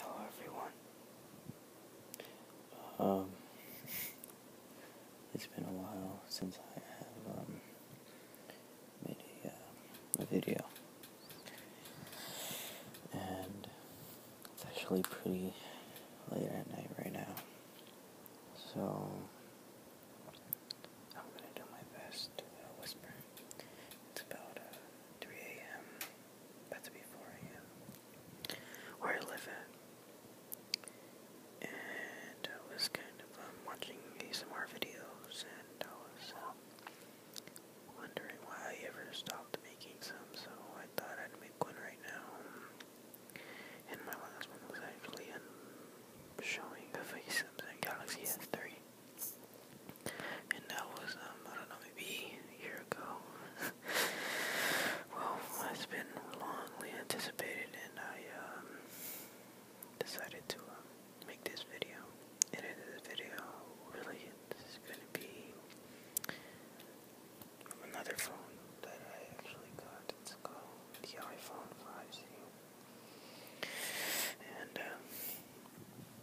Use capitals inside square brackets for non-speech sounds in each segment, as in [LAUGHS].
Hello everyone. Um, it's been a while since I have um, made uh, a, video, and it's actually pretty late at night right now, so I'm gonna do my best to uh, whisper. It's about uh, 3 a.m. That's before him. Where I live at. And I was kind of um, watching ASMR videos and I was um, wondering why I ever stopped making some, so I thought I'd make one right now. And my last one was actually um, showing the face Samsung Galaxy S3 and that was um, I don't know maybe a year ago. [LAUGHS] well, it's been longly anticipated, and I um, decided to um, make this video. And in this video, really, this is gonna be from another phone that I actually got. It's called the iPhone 5C. And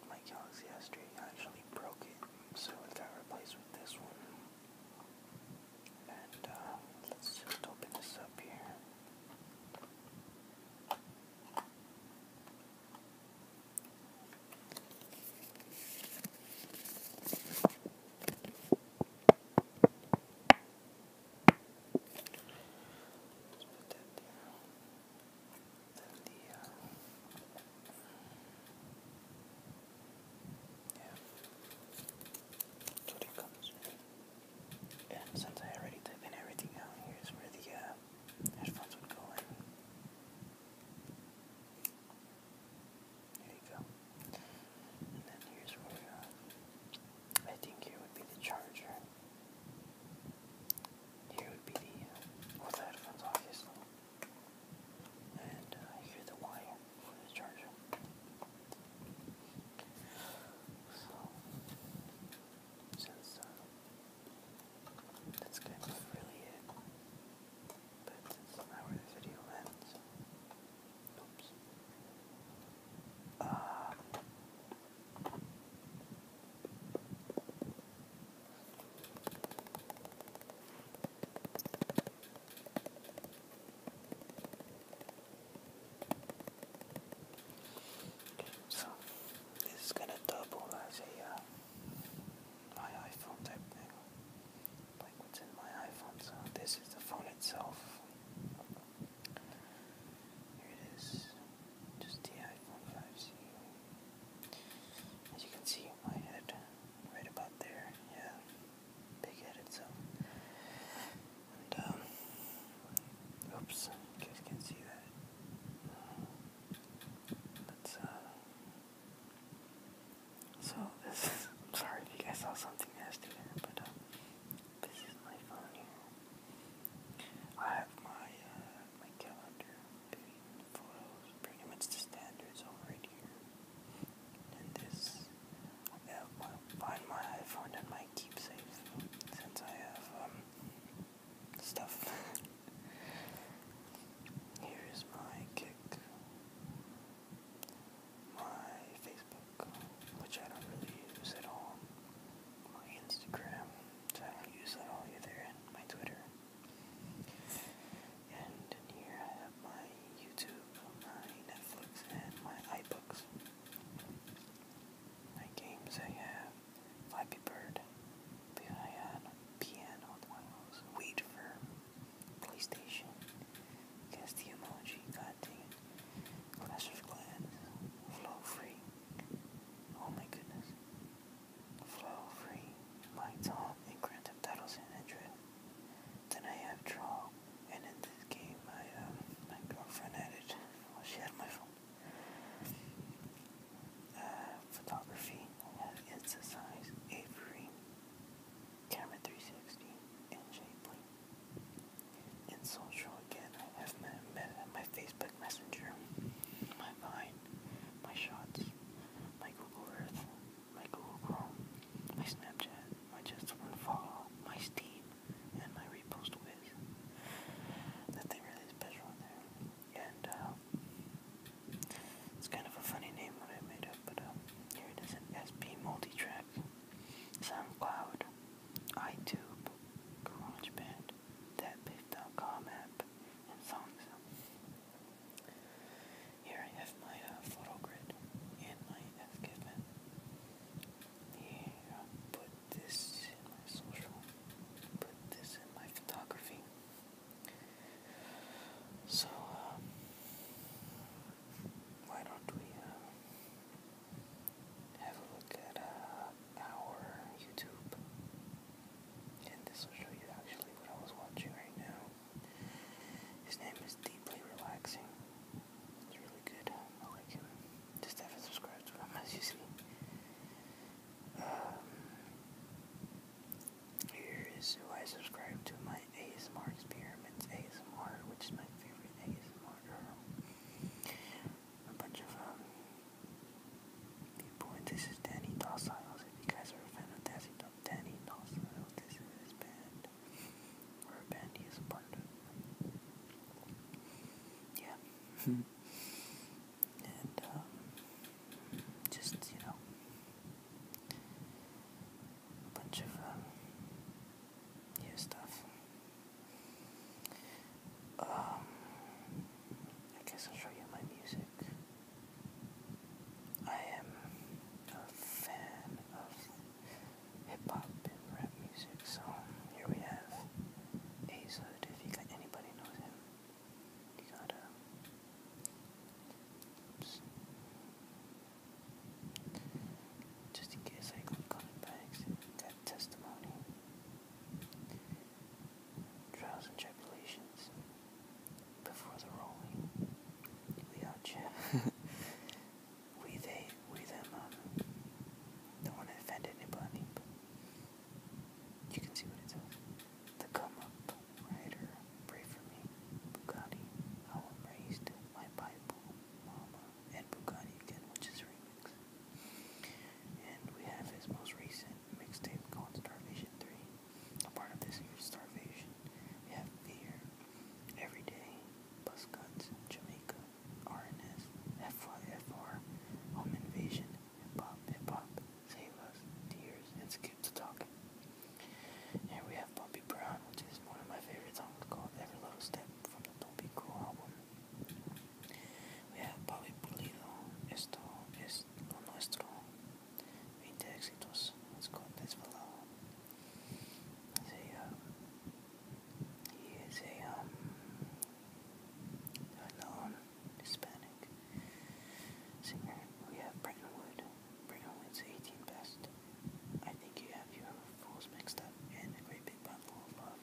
my Galaxy S3 actually broke it, so I got replaced with this one. And uh, let's just open this up here. put that down del día. Uh, yeah. That's what it comes with. And since I already type in everything out, here's uh, where the uh, headphones would go in. There you go. And then here's where, uh, I think here would be the charger. Here would be the, uh, headphones obviously. And uh, here the wire for the charger. So, since uh, that's kind of really it, but it's not where the video ends. Oops. Um, so this is gonna double as a uh, iPhone type thing, like what's in my iPhone. So this is the phone itself. Here it is, just the iPhone 5C. As you can see, my head right about there. Yeah, big headed, so. And, um, oops, you guys can see that. That's, uh, so this is, I'm sorry if you guys saw something nasty there, but, um, this is my phone here. I have my, uh, my calendar. photos, pretty much the standards over here. And this, I have find my iPhone and my keepsake since I have um stuff. [LAUGHS] here is my kick, my Facebook, which I don't really use at all. My Instagram, so I don't use that all either, and my Twitter. And in here I have my YouTube, my Netflix, and my iBooks. My games I have Flappy Bird, Piano, Piano, Wait for PlayStation, Guess the Emoji, Goddamn, Clash of Clans, Flow Free. Oh my goodness. Flow free, my top, and grant him titles Then I have draw, and in this game, I, um, my girlfriend added, she had my phone. Uh, photography, I have Insta Size, Avery, Camera 360, and Shapley in social again. I have my, my Facebook Messenger, my Vine, my Shots, my Google Earth, my Google Chrome, my Snapchat, my Just One Follow, my Steam, and my Repost Wiz. Nothing really special in there. And, um, it's kind of a funny name what I made up, but, um, here it is an SP Multitrack, SoundCloud, YouTube, GarageBand, that Biff.com app and songs. Here I have my uh, photo grid and my FKFM. Here I put this in my social, put this in my photography. So, um, why don't we uh, have a look at uh, our YouTube. And this will show you actually what I was watching right now. His name is Deeply Relaxing. It's really good. I like him. Just haven't subscribed to him, as you see. Um, here is who I subscribe to my ASMR Experiments ASMR, which is my favorite ASMR girl a bunch of um, people. And this is Danny Dawsiles. If you guys are a fan of Danny, Danny Dawsiles, this is his band. Or a band he is part of. Yeah. [LAUGHS] and, um, just, you know, a bunch of um, new stuff. Um, I guess I'll show you my music. I am a fan of hip hop and rap music, so here we have Azud. If you got anybody knows him, you gotta. Um, just in case I click on it testimony. Trials and tribulations before the rolling. We out [LAUGHS] you. we they, we them, um, don't want to offend anybody, you can see what it says. The come up, rider, pray Bugatti, how I'm raised, my Bible, Mama, and Bugatti again, which is remix. And we have his most recent mixtape called Starvation 3. A part of this year's Starvation. We have Fear, Everyday, Bus Buzzcuts, Jamaica, RNS, FYFR, Home Invasion, Hip Hop, Hip Hop, Save Us, Tears, and Skip to Talking. And we have Bumpy Brown, which is one of my favorite songs called Every Little Step from the Don't Cool album. Vea, Pavi Pulido, esto es lo nuestro. 20 exitos he is a, um, um Hispanic singer. We have Bretton Wood. Bretton Wood's 18 best. I think you have your fools mixed up in a great big bundle of love.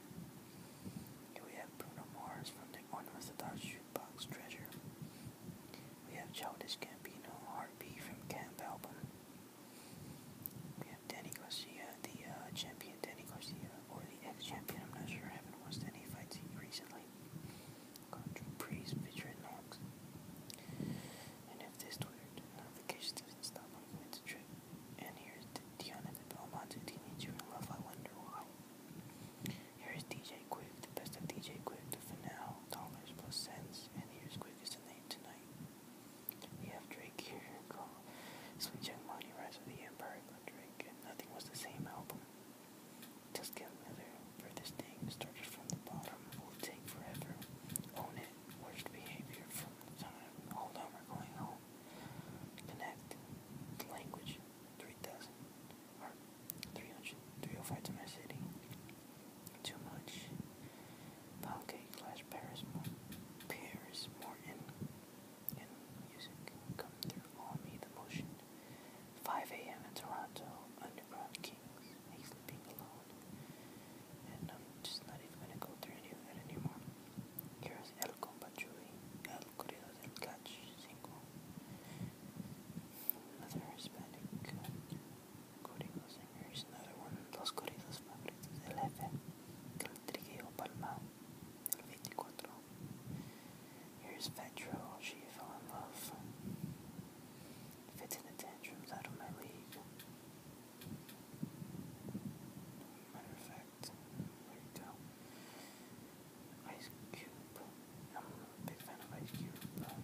we have Bruno Mars from the One with the Dark shoebox treasure. We have Childish Gambino, Heartbeat from Camp Album. We have Danny Garcia, the uh, champion Danny Garcia, or the ex-champion, I'm not sure, I haven't watched any fights recently. Country Priest featuring Knox. And if this triggered notifications didn't stop, I'm going to trip. And here's Tiana the Belmonte teenager love, I wonder why. Here's DJ Quick, the best of DJ Quick, the finale, dollars plus cents, and here's Quick as the name tonight. We have Drake here, called Sweet Young Money, Rise with the Empire, but Drake, and nothing was the same album. Just get another for this thing, started from the bottom, will take forever, own it, worst behavior from the time hold on are going home. Connect language three thousand or three hundred three oh five to my city. Too much pound cake slash Paris Morton Paris Morton and music come through on me the motion. 5 a.m. in Toronto, Underground Kings, a sleeping alone. And I'm just not even going to go through any of that anymore. Here's El Compa El Corrido del Catch 5. Another Hispanic Corrido singer. another one Los Corridos Favoritos del F. El Trigueo Palma, El 24. Here's Vetro, she fell in love. Fits in the tantrums out of my league. Matter of fact, there Ice Cube. I'm a big fan of Ice Cube, but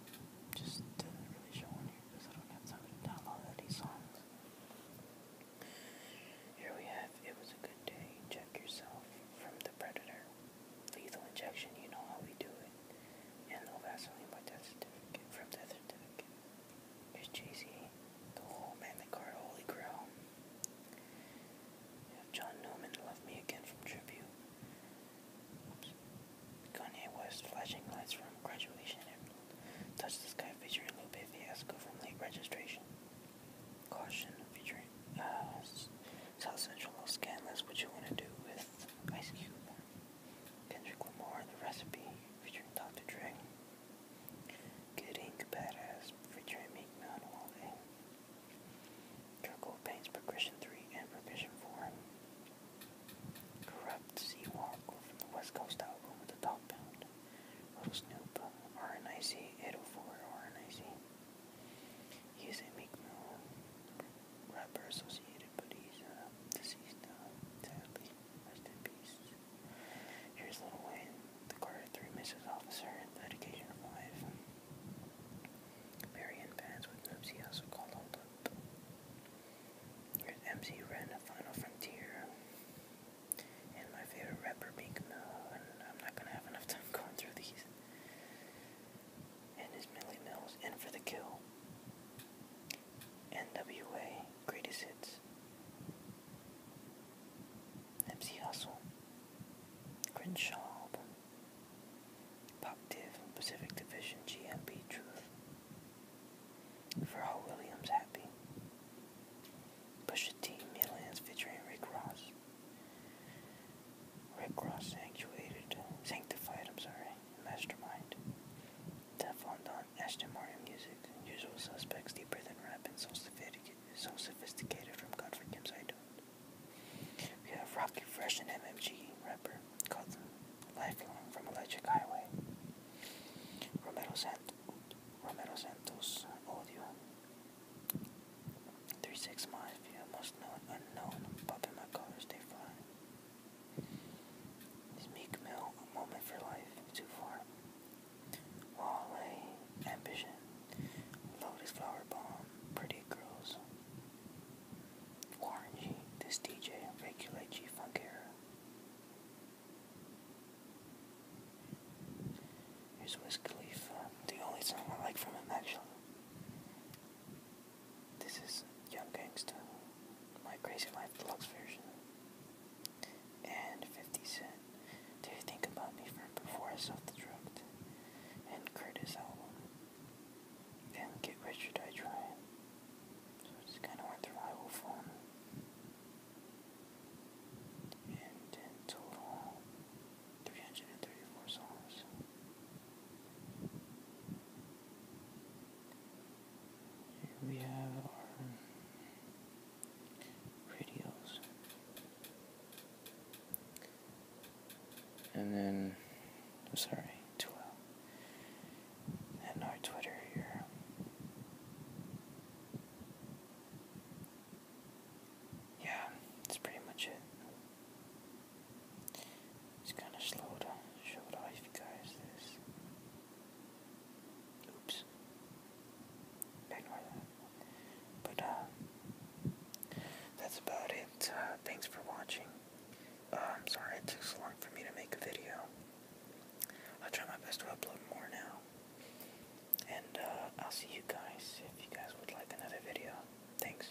just didn't really show on here because I don't have time to download all songs. Here we have It Was a Good Day, Check Yourself from The Predator. Lethal Injection, You Know How We Do It. And No Vaseline by Death Certificate from Death Certificate. There's Jay-Z, The Hole, Magnet Car, Holy Grail. have John Newman, Love Me Again from Tribute. Oops. Kanye West, Flashing Lights from Graduation. Touch the Sky featuring Lupe Fiasco from Late Registration. Caution featuring uh, South Central Los What You Wanna Do with Ice Cube. Kendrick Lamar the Recipe featuring Dr. Dre. Good Ink Badass featuring Meek Mill and Paints Progression 3 and Progression 4. Corrupt Seawalker from the West Coast album with the top pound. Little Snoop, RNIC, 804 RNIC. He a Meek Mill rapper associated, but he's uh, deceased, uh, Rest in peace. Here's Little Wayne, the Carter 3 Mrs. Officer, and the Dedication of Life. Marion Bands with Nipsey also called Hold Up. Here's MC Ren, a Final Frontier. And my favorite rapper, Big Mill, and I'm not gonna have enough time [LAUGHS] going through these. And his Millie Mills, In for the Kill. NWA Greatest Hits, MC Hustle, Crenshaw Pop Div, Pacific Division, GMB Truth, Pharrell Williams Happy, Pusha T Millions featuring Rick Ross, Rick Ross Sanctuated, Sanctified, I'm sorry, Mastermind, Teflon Don, Ashton Martin music, usual suspects, deeper than rap, and so sophisticated, so sophisticated from Godfrey Forgives I Don't. We have Rocky Fresh and MMG rapper, called Lifelong from Electric Highway. Romero, Sant- Romero Santos, Audio. Three six 365, yeah, most known, unknown, popping my colors, they fly. Is Meek Mill moment for life too far? Wallay, ambition, lotus flower bomb, pretty girls. Warren this DJ, regulate G Funk era. Here's Wiz the only song I like from him actually. This is Young Gangsta, My Crazy Life Deluxe version, and 50 Cent, Do You Think About Me from Before I the destruct and Curtis album, and Get Rich or Die Trying, so kind of hard to rival for me. And in total, 334 songs. Here we have our radios. And then, I'm sorry, 12. And our Twitter here. Yeah, that's pretty much it. It's kind of slow to show it off guys this. Oops. But, uh, that's about it. Uh, thanks for watching. I'm um, sorry it took so long for me to make a video. I'll try my best to upload more now. And, uh, I'll see you guys if you guys would like another video. Thanks.